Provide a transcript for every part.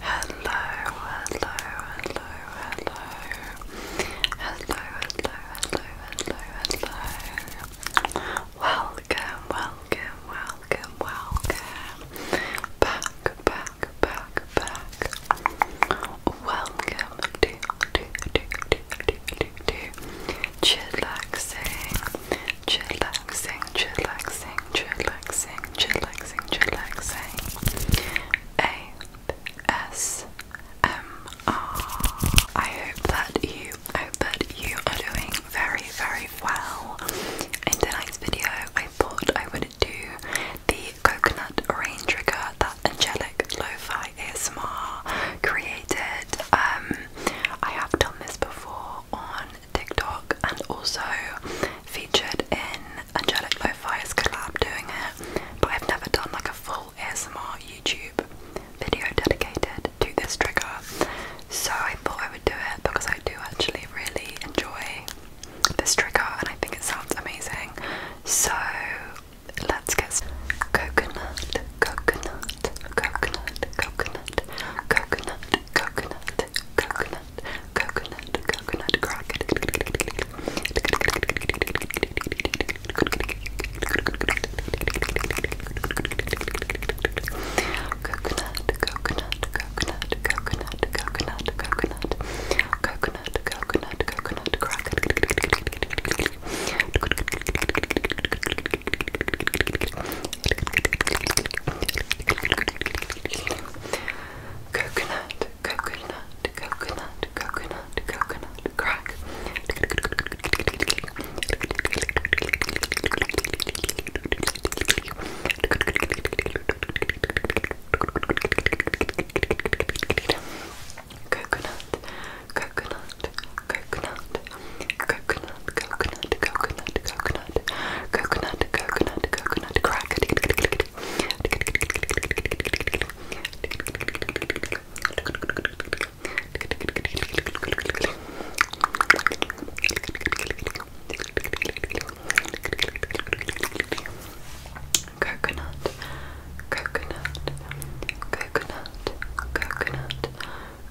Hello, hello, hello, hello. Hello, hello, hello, hello, hello. Welcome, welcome, welcome, welcome. Back, back, back, back. Welcome to, to, to, to, to, to, to chillaxing chillaxing, chillaxing, chillaxing, chillaxing, chillaxing. ASMR. I hope that you, I hope that you are doing very, very well. In tonight's video, I thought I would do the coconut rain trigger that Angelic Lo-Fi ASMR created. Um, I have done this before on TikTok and also featured in Angelic Lo-Fi's collab doing it, but I've never done like a full ASMR YouTube video dedicated to this trigger. So I thought I would do it because I do actually really enjoy this trigger and I think it sounds amazing. So let's get coconut, coconut, coconut, coconut, coconut, coconut, coconut, coconut, coconut crack. Coconut, coconut, coconut, coconut, coconut, coconut, coconut, coconut, coconut crack. Coconut, coconut, coconut, coconut, coconut, crack. Coconut, coconut, coconut, coconut, coconut, coconut, coconut, coconut, coconut, coconut, crack. Coconut, coconut, coconut,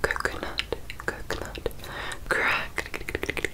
coconut, coconut, coconut, crack.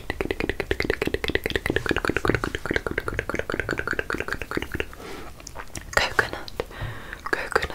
Coconut, coconut, coconut, coconut, coconut, crack. Coconut,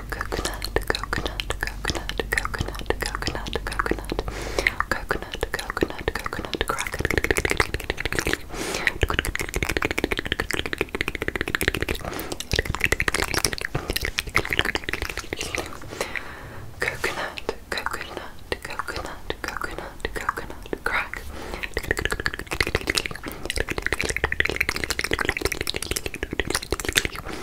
coconut, coconut, coconut, coconut, coconut, coconut, coconut, coconut, coconut, crack. Coconut, coconut, coconut, coconut, coconut, crack. Coconut, crack. coconut, coconut, coconut, coconut, coconut, coconut, coconut, coconut, coconut, coconut,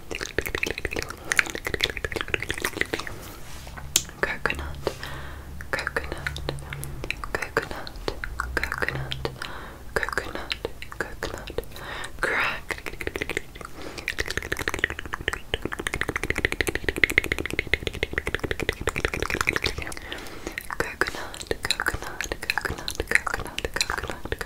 coconut, coconut, coconut, coconut, coconut, coconut, crack, coconut, coconut, coconut, coconut, coconut, coconut.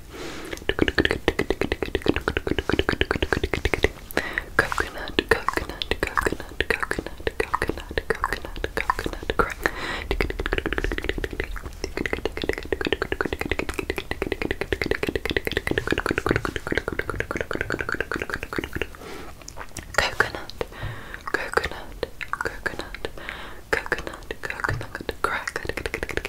coconut, coconut, coconut, coconut, coconut, coconut, coconut, crack. Coconut, coconut, coconut, coconut, coconut, crack.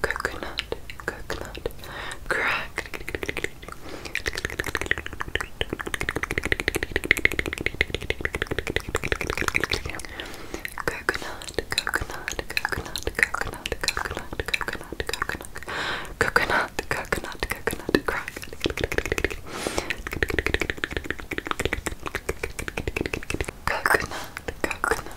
coconut, coconut, crack. Coconut, coconut, coconut, coconut, coconut, coconut, coconut, coconut, coconut, coconut, crack. Coconut, coconut,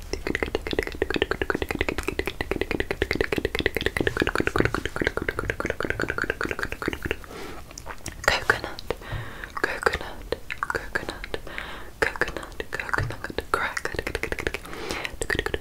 Coconut, coconut, coconut, coconut, coconut, crack. Coconut,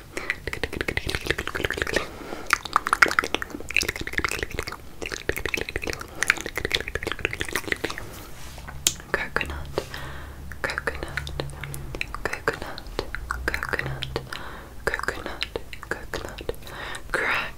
Coconut, coconut, coconut, coconut, coconut, coconut, crack.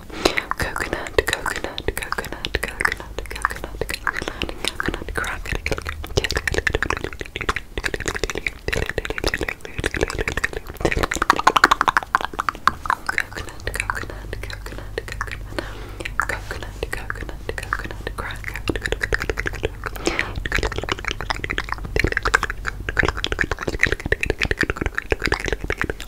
Coconut, coconut, coconut, coconut, coconut, coconut, coconut, coconut, coconut, coconut, coconut, coconut, coconut, coconut, crack,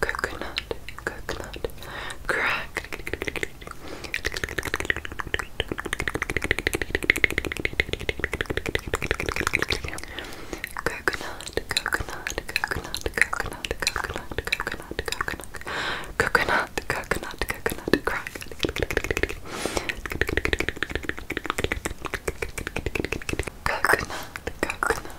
coconut, coconut, crack. Coconut, coconut, coconut, coconut, coconut, coconut, coconut, coconut, coconut, coconut, crack. Coconut, coconut,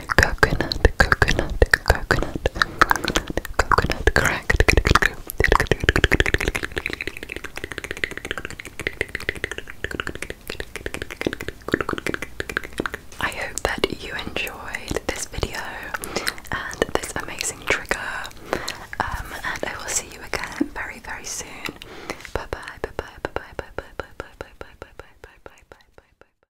coconut, coconut, coconut, coconut, correct. I hope that you enjoyed this video and this amazing trigger. Um, and I will see you again very, very soon. Bye bye, bye bye, bye bye, bye bye, bye bye, bye bye, bye bye, bye bye, bye bye, bye bye.